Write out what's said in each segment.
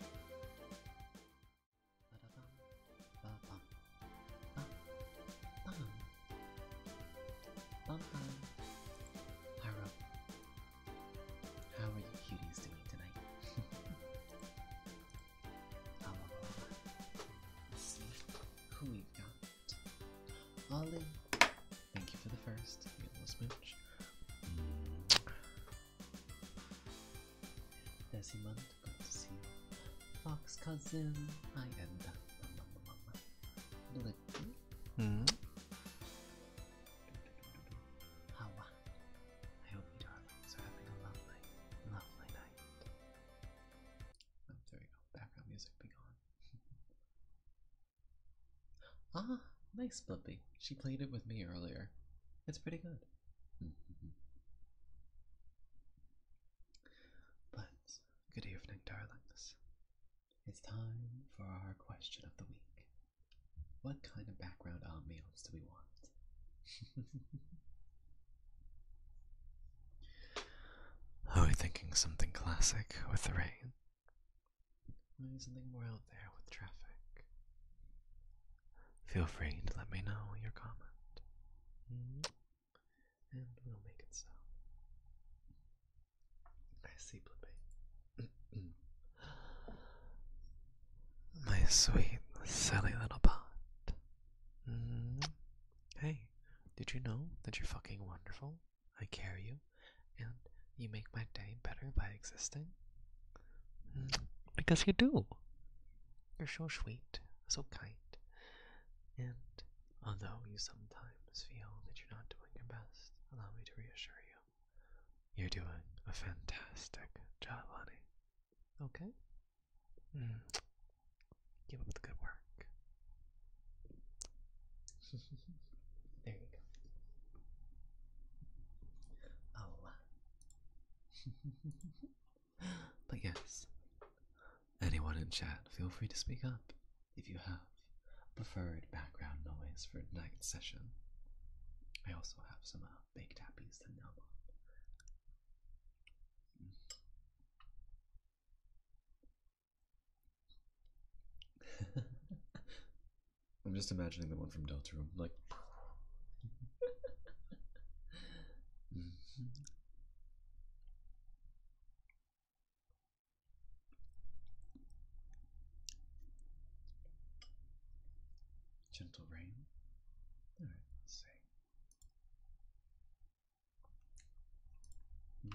how are you cuties doing tonight? Let's see who we've got. Ollie, thank you for the first. Little smooch. Desimant, good to see you. Fox cousin, I am done. Mm -hmm. Hawa, I hope you darlings are having a lovely, lovely night. Oh, there we go. Background music be gone. ah, nice Blippi. She played it with me earlier. It's pretty good. But good evening, darlings. It's time for our question of the week. What kind of background ambiance do we want? Are we thinking something classic with the rain? Or something more out there with traffic? feel free to let me know your comment. Mm-hmm. And we'll make it so. I see, Blippi. My sweet, silly little bot. Mm-hmm. Hey, did you know that you're fucking wonderful? I care you, and you make my day better by existing. Because you do. You're so sweet, so kind. And although you sometimes feel that you're not doing your best, allow me to reassure you. You're doing a fantastic job, honey. Okay? Give mm. up the good work. there you go. Oh, but yes, anyone in chat, feel free to speak up if you have preferred background noise for tonight's session. I also have some uh, baked apples to numb on. I'm just imagining the one from Delta Room, like. Gentle rain. All right, let's see. Hmm.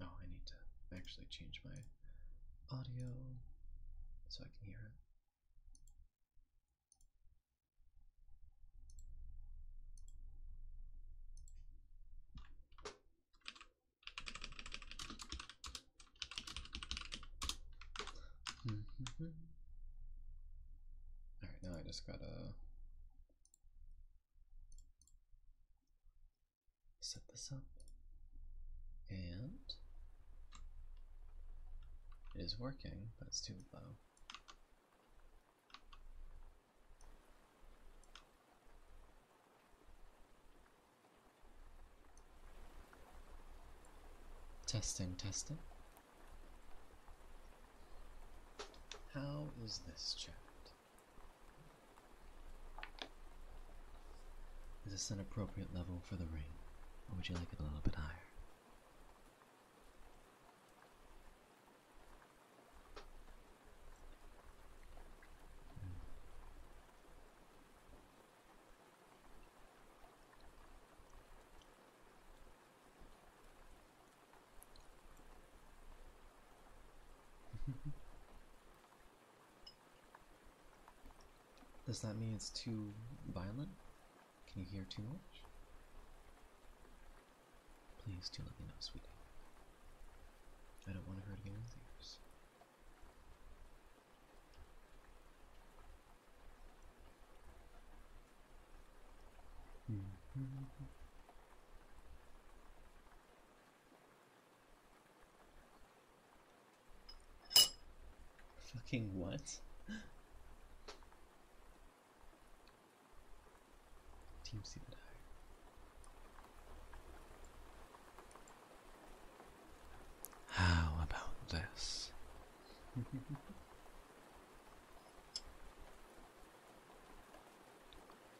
Oh, I need to actually change my audio so I can hear it. All right, now I just gotta set this up and it is working but it's too low testing testing how is this chat is this an appropriate level for the ring, or would you like it a little bit higher? Does that mean it's too violent? Can you hear too much? Please do let me sweetie. I don't want to hurt anyone's ears. Mm-hmm. Fucking what? Team C How about this?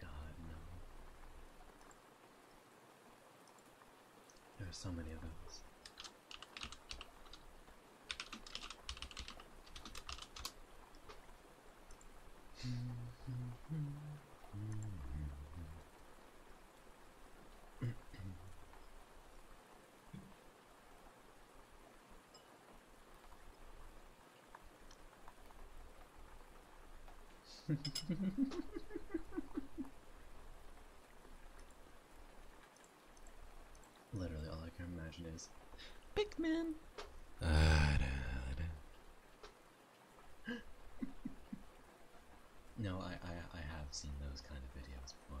God, no. There are so many of those. Literally all I can imagine is Pikmin. Uh, no, I, I I have seen those kind of videos before.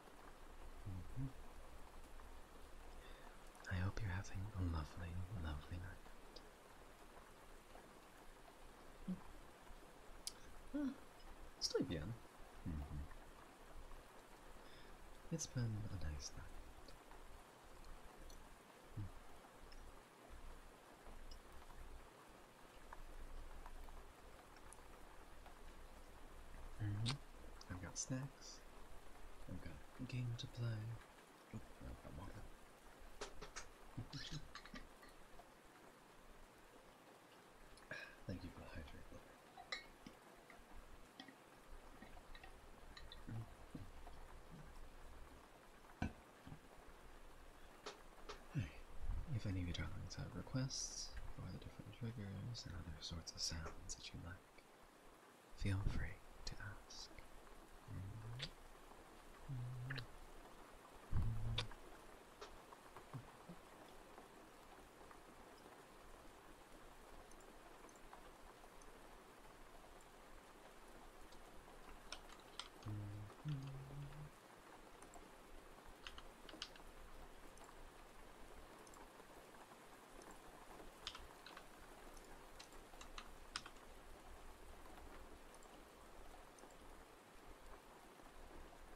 Mm-hmm. I hope you're having a lovely, lovely night. Hmm. Mm-hmm. It's been a nice night. Hmm. Mm-hmm. I've got snacks. I've got a game to play. I've got water. Thank you for the hydrate. If any of you darlings have requests for the different triggers, and other sorts of sounds that you like, feel free to ask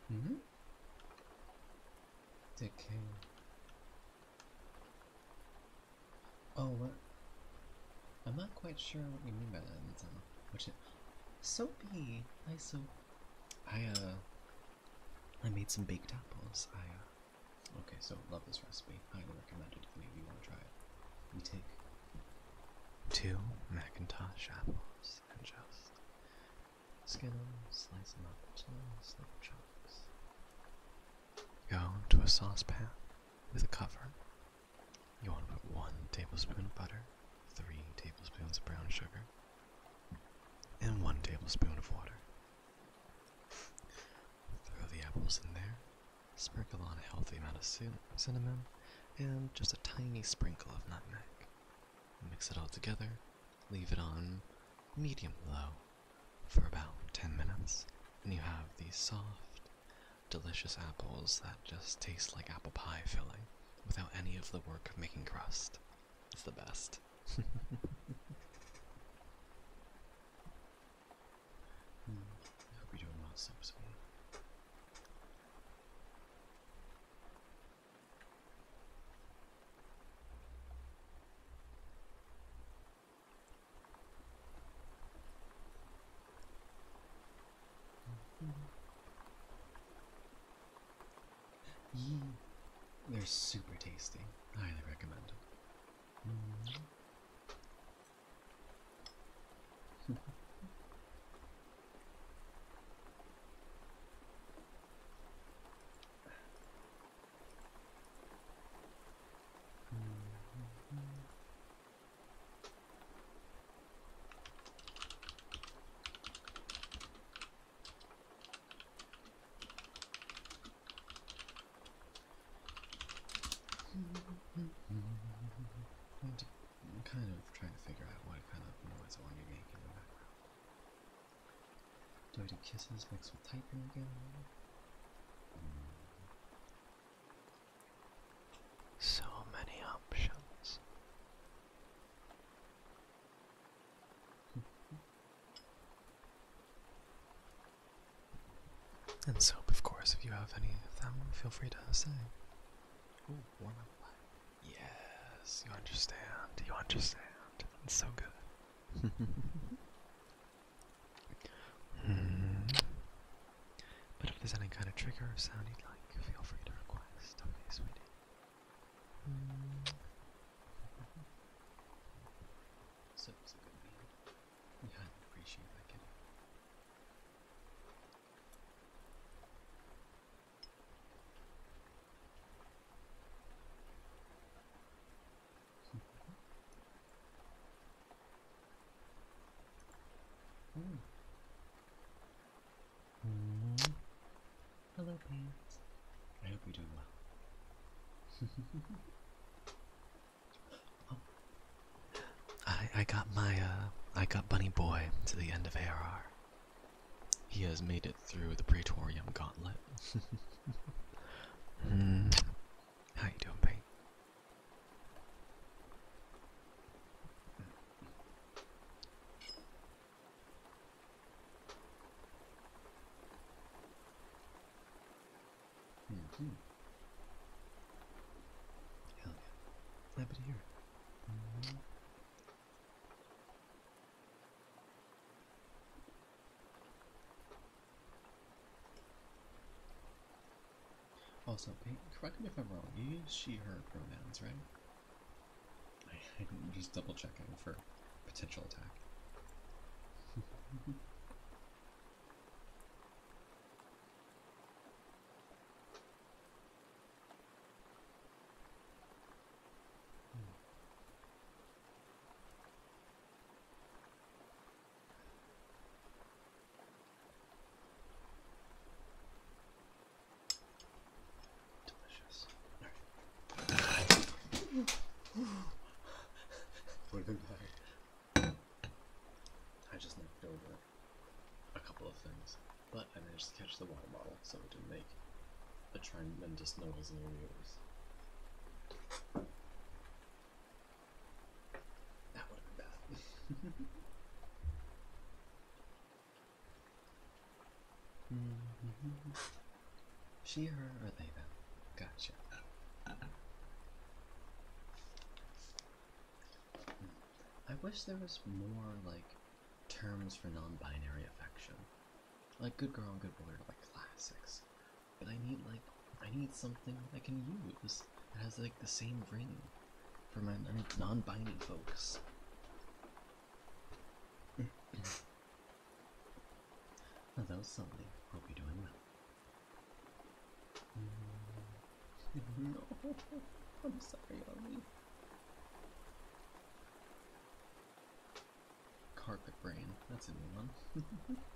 hmm? The Oh, I'm not quite sure what you mean by that, Nintendo. Which is... Soapy! Hi, Soap. I, uh, I made some baked apples. I, uh, okay, so love this recipe. Highly recommend it if you want to try it. We take two Macintosh apples and just skin them, slice them up into little chunks. Go to a saucepan with a cover. You want to put one tablespoon of butter, three tablespoons of brown sugar, and one tablespoon of water. Throw the apples in there, sprinkle on a healthy amount of cinnamon, and just a tiny sprinkle of nutmeg. Mix it all together, leave it on medium low for about 10 minutes, and you have these soft, delicious apples that just taste like apple pie filling without any of the work of making crust. It's the best. I hope you don't want some sweet. They're super tasty. Highly recommend them. I'm kind of trying to figure out what kind of noise I want to be in the background. Do I do kisses mixed with typing again? So many options. And soap, of course, if you have any of them, feel free to say. Ooh, Yes, you understand, you understand. It's so good. Hmm. But if there's any kind of trigger sound you'd like, feel free to request. Hmm. so was a good man. We highly appreciate that kid. mm. Mm. Hello, parents. I hope you're doing well. I I got my uh I got Bunny Boy to the end of ARR. He has made it through the Praetorium Gauntlet. Hmm. How you doing, Pete? Mm -hmm. Hell yeah. Happy to hear it. Also, correct me if I'm wrong, you use she, her pronouns, right? I'm just double checking for potential attack. Delicious. I just knocked over a couple of things, but I managed to catch the water bottle so it didn't make a tremendous noise in your ears. That would have bad. She, her, or they, them. Gotcha. Hmm. I wish there was more, like, terms for non-binary affection. Like, good girl and good boy are, like, classics. But I need, like, I need something I can use that has, like, the same ring for my non-binding folks. Hello, Sully. Hope you're doing well. no, mm, I'm sorry, Ollie. Carpet brain. That's a new one.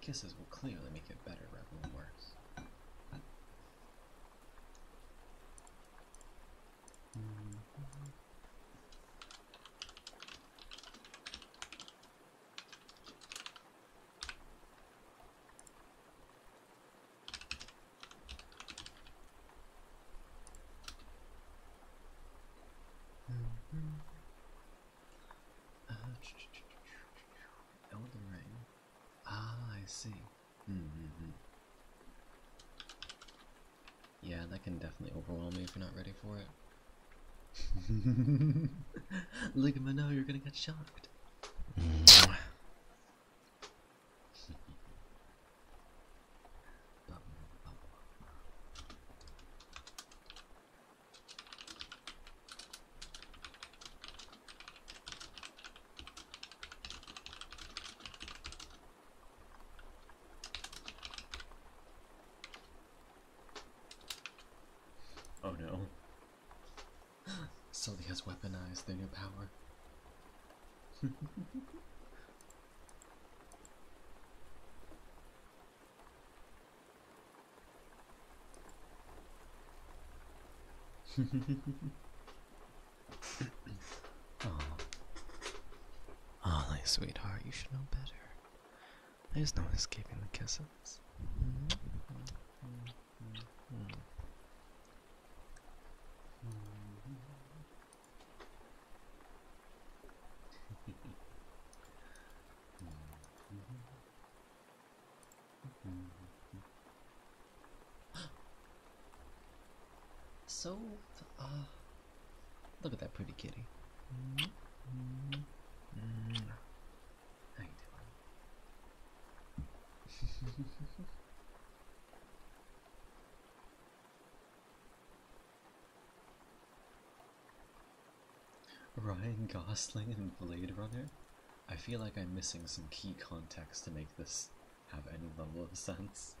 Kisses will clearly make it better rather than worse. Mm-hmm. Uh, Elden Ring. Ah, I see. Mm -hmm. Yeah, that can definitely overwhelm me if you're not ready for it. Look at my now, you're gonna get shocked. Oh no. Sully has weaponized their new power. oh. oh, like sweetheart, you should know better. There's no escaping the kisses. so, uh, Look at that pretty kitty. Ryan Gosling and Blade Runner? I feel like I'm missing some key context to make this have any level of sense.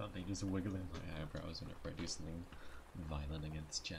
I'll be just wiggling my eyebrows whenever I do something violent against chat.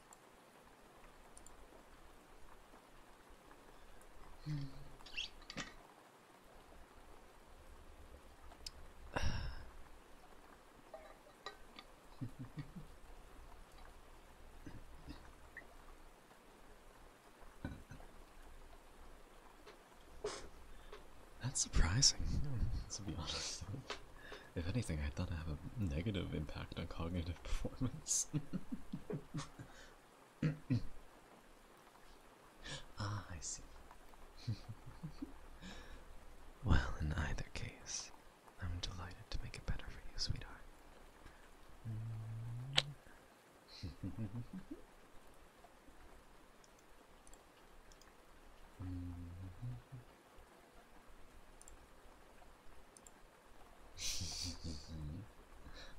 That's surprising, to be honest. If anything, I thought it have a negative impact on cognitive performance. ah, I see. well, in either case, I'm delighted to make it better for you, sweetheart.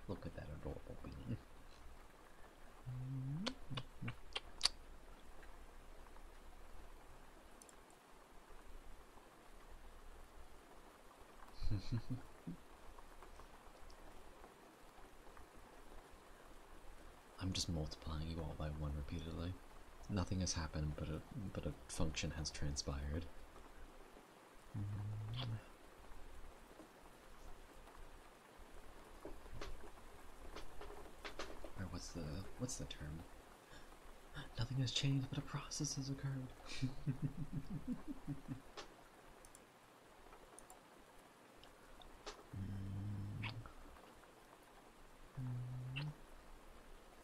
Look at that adorable being. I'm just multiplying you all by one repeatedly. Nothing has happened, but a, but a function has transpired. Or what's the what's the term? Nothing has changed, but a process has occurred.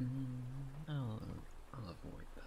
Mm, I'll, I'll avoid that.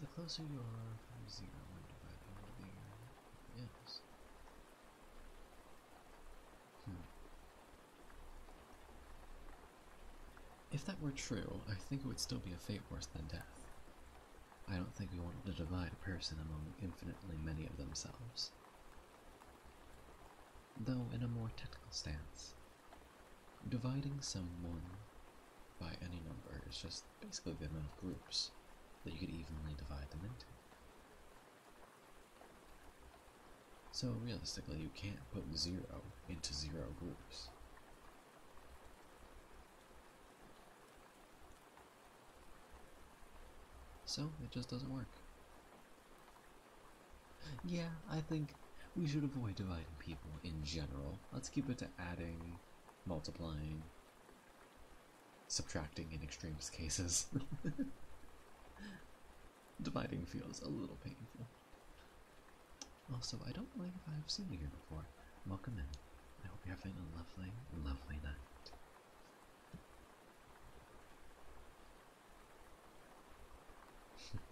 The closer you are from zero when dividing, the bigger it is. Hmm. If that were true, I think it would still be a fate worse than death. I don't think we want to divide a person among infinitely many of themselves. Though, in a more technical stance, dividing someone by any number is just basically the amount of groups that you could evenly divide them into. So realistically, you can't put zero into zero groups. So it just doesn't work. Yeah, I think we should avoid dividing people in general. Let's keep it to adding, multiplying, subtracting in extremist cases. Dividing feels a little painful. Also, I don't mind if I've seen you here before. Welcome in. I hope you're having a lovely, lovely night.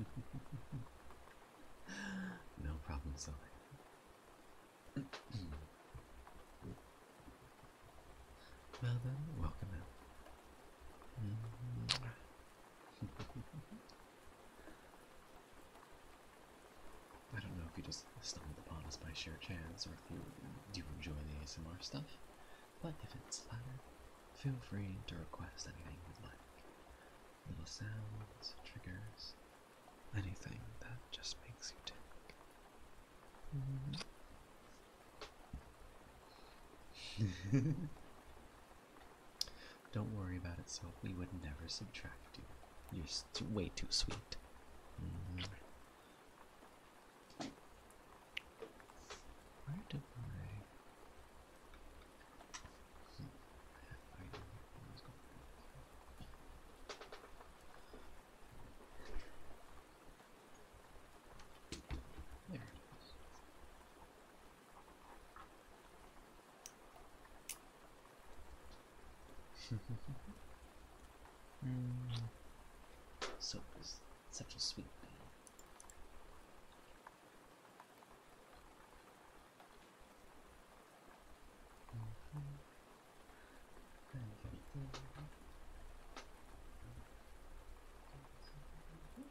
no problem, Sylvia. Well then, welcome in. Mm-hmm. I don't know if you just stumbled upon us by sheer chance or if you do enjoy the ASMR stuff, but if it's the latter, feel free to request anything you'd like. Little sounds, triggers, anything that just makes you tick. Mm-hmm. Don't worry about it, So We would never subtract you. You're way too sweet. Mm-hmm. Where hmm. do I? There it is. such a sweet thing. Mm-hmm.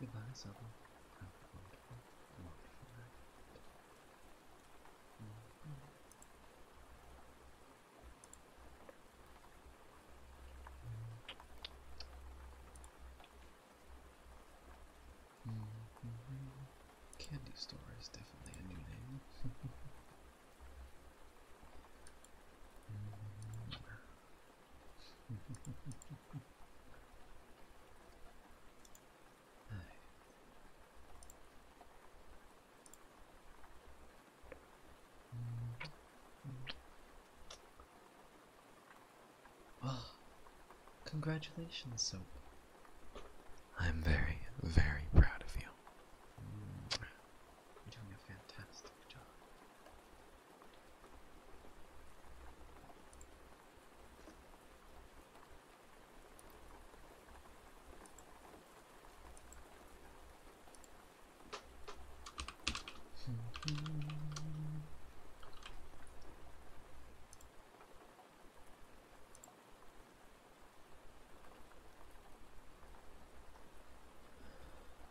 Goodbye, mm-hmm. Sobble. Mm-hmm. Candy store is definitely a new name. congratulations, Soap. I'm very, very proud of you. You're doing a fantastic job.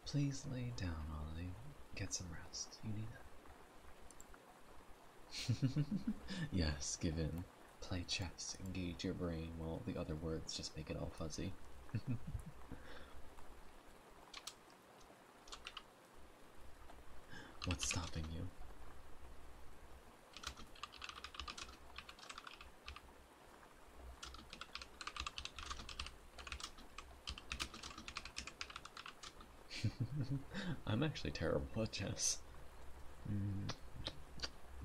Please lay down, Ollie. Get some rest. You need it. yes, give in. Play chess, engage your brain, while the other words just make it all fuzzy. What's stopping you? I'm actually terrible at chess. Mm.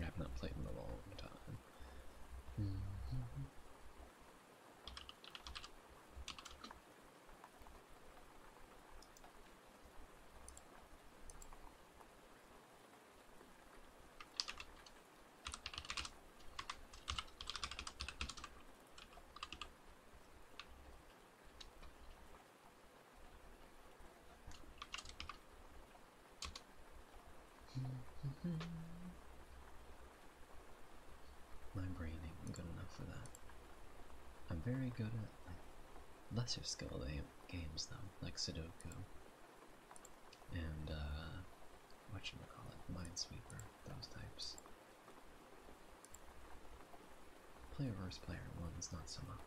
I have not played in a long time. My brain ain't good enough for that. I'm very good at lesser skill games though, like Sudoku and uh, what should we call it, Minesweeper, those types. Player versus player ones, not so much.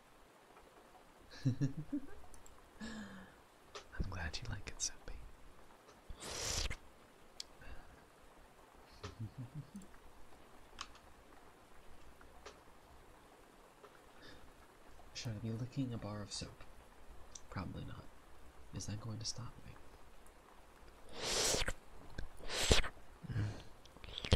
I'm glad you like it, Soapy. Should I be licking a bar of soap? Probably not. Is that going to stop me?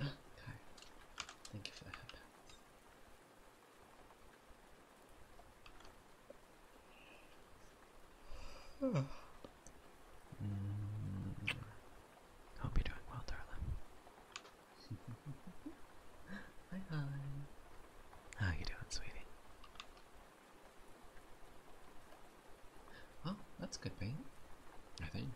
okay. Thank you for the headphones. Oh. Mm. are doing well, darling. hi. How you doing, sweetie? Oh, that's good paint. I think.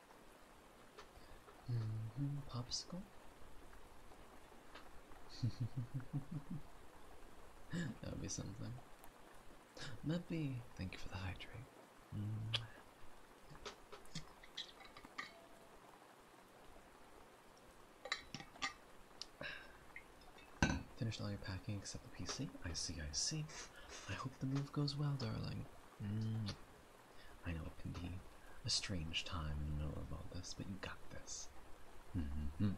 Mm that would be something. Maybe. thank you for the hydrate. Mm. Finished all your packing except the PC? I see, I see. I hope the move goes well, darling. Mm. I know it can be a strange time in the middle of all this, but you got this. Mm-hmm.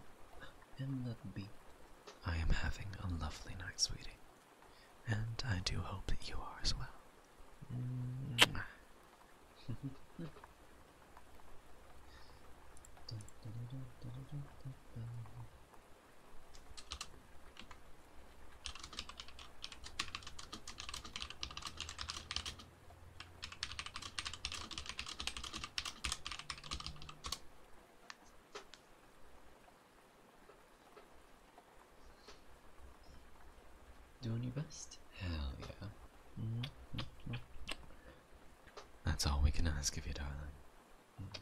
And let be. I am having a lovely night, sweetie. And I do hope that you are as well. Mm-hmm. Doing your best? Hell yeah. Mm-hmm. That's all we can ask of you, darling. Mm-hmm.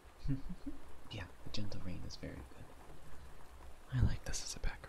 yeah, the gentle rain is very good. I like this as a background.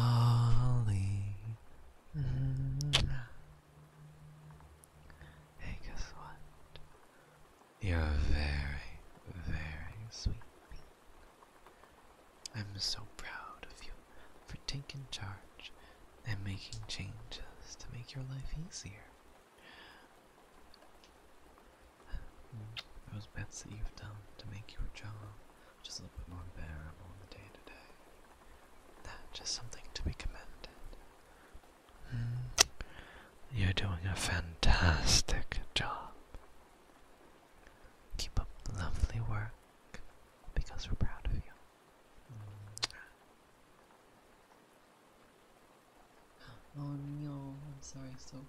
Ollie. Hey, guess what? You're very, very sweet I'm so proud of you for taking charge and making changes to make your life easier. Those bets that you've done to make your job just a little bit more bearable day to day. That's just something to be commended. Hmm. You're doing a fantastic job. Keep up lovely work because we're proud of you. Oh no, I'm sorry, so.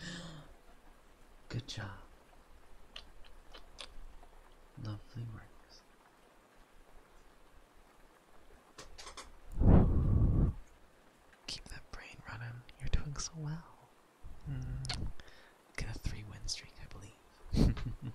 Good job. Lovely work. Keep that brain running. You're doing so well. Get a three win streak, I believe.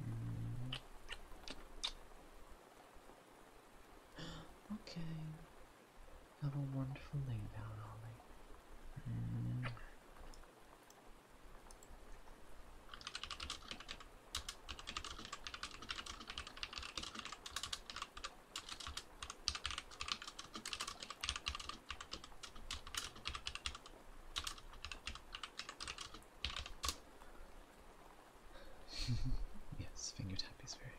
Mm. Okay. Have a wonderful lay down, Ollie. Mm. yes, finger tap is very good.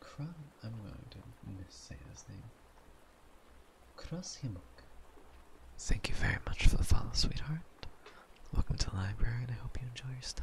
Kram, I'm going to miss say his name. Cross him. Thank you very much for the follow, sweetheart. Welcome to the library, and I hope you enjoy your stay.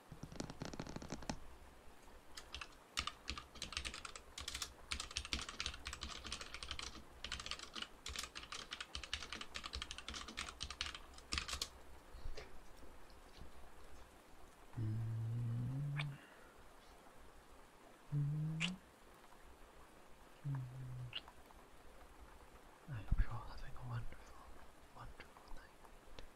I'm mm. sure mm. mm. having a wonderful, wonderful night.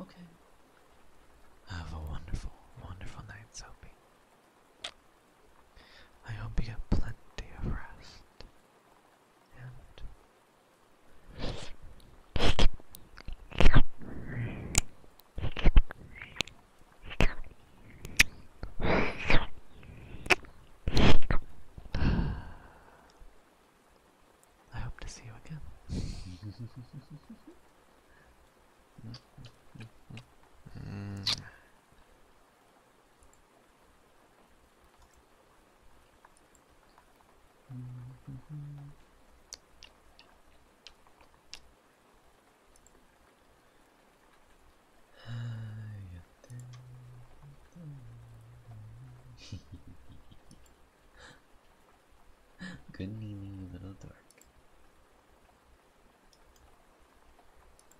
Okay. Have a wonderful, wonderful night, Sophie. I hope you get plenty of rest. I hope to see you again. mm. Good evening, little dark.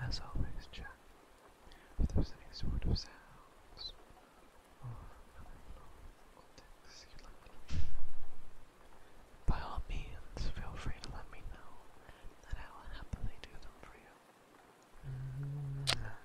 As always, check if there's any sort of sounds or other you'd like to hear. By all means, feel free to let me know, and I will happily do them for you.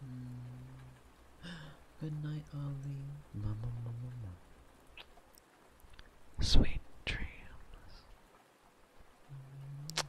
Hmm. Good night, Ollie. Sweet dreams. Mm-hmm.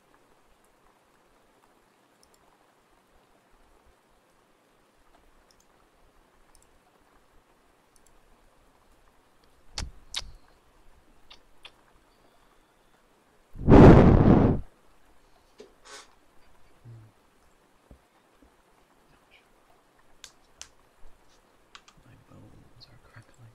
My bones are crackling.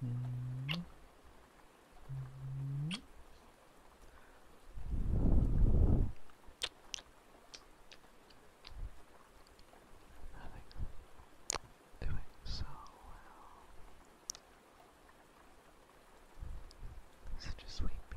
Doing so well. Such a sweet bee.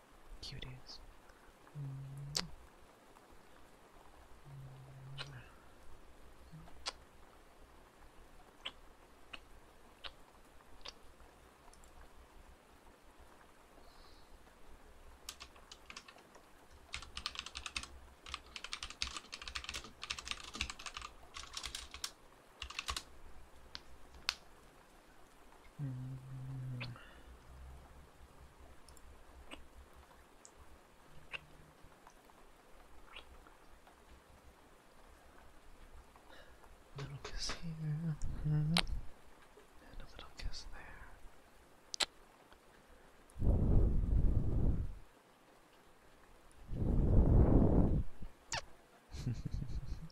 Cuties. Mm. Mm-hmm. Little kiss here, mm-hmm. and a little kiss there.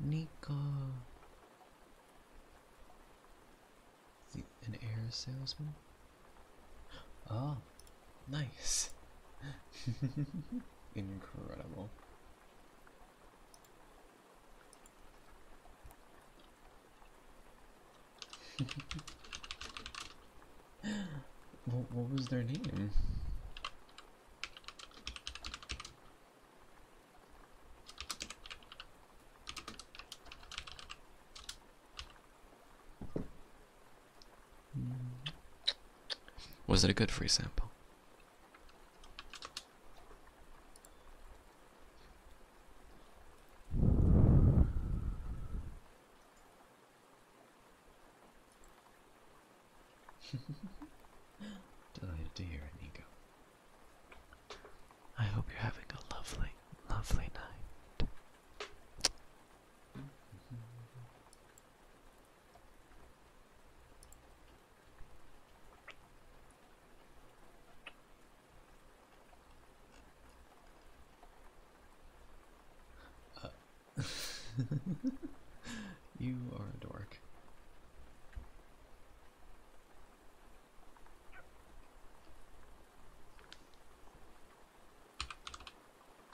Nico. an air salesman? Oh, nice. Incredible. what, was their name? Was it a good free sample? Delighted to hear it, Nico. I hope you're having a lovely, lovely night. Mm-hmm. Uh, you are a dork.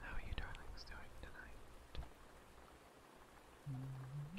How are you darlings doing tonight? Mm-hmm.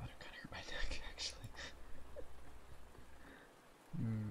Oh, that kind hurt my neck, actually. mm.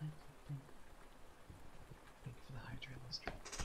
Thank you for the hydrate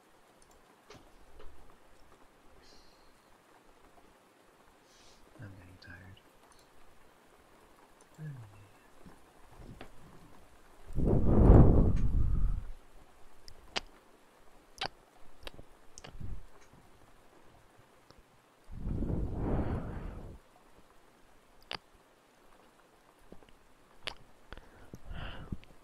I'm getting tired. Mm.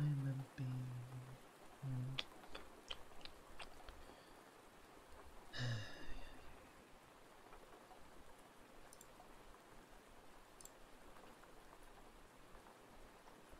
Island being mm. yeah,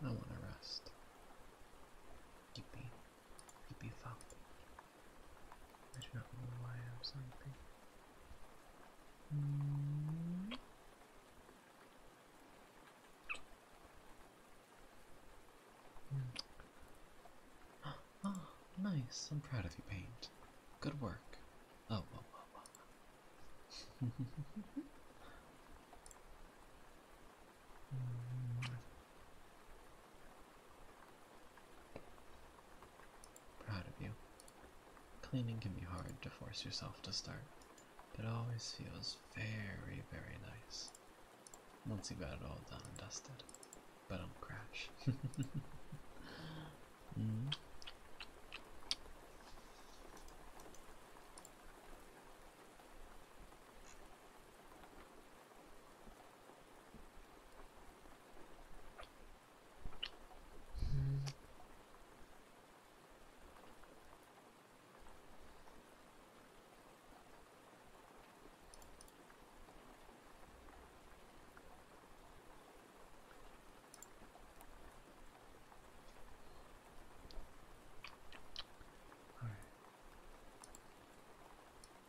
I want to rest. Keepy, keepy falcon. I do not know why I'm sleepy. Oh, nice. I'm proud of you, Paint. Good work. Oh, whoa, whoa, whoa. Proud of you. Cleaning can be hard to force yourself to start, but it always feels very, very nice once you have got it all done and dusted. But I'm crash. Mm-hmm.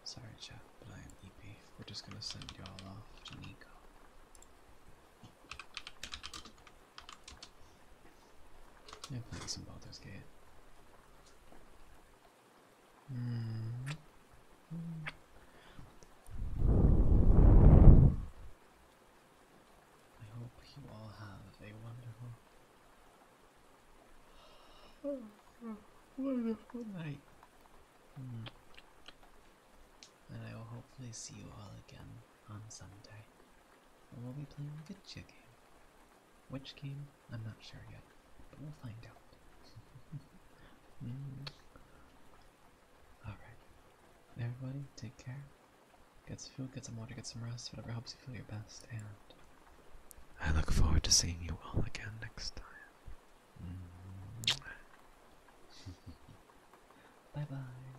Sorry, chat, but I am EP. We're just gonna send y'all off to Nico. Yeah, play some Baldur's game. Hmm. I hope you all have a wonderful, wonderful night. Hmm. And I will hopefully see you all again on Sunday. And we'll be playing the Gitcha game. Which game? I'm not sure yet, but we'll find out. Hmm. Alright. Everybody, take care. Get some food, get some water, get some rest, whatever helps you feel your best, and I look forward to seeing you all again next time. Mm-hmm. bye bye.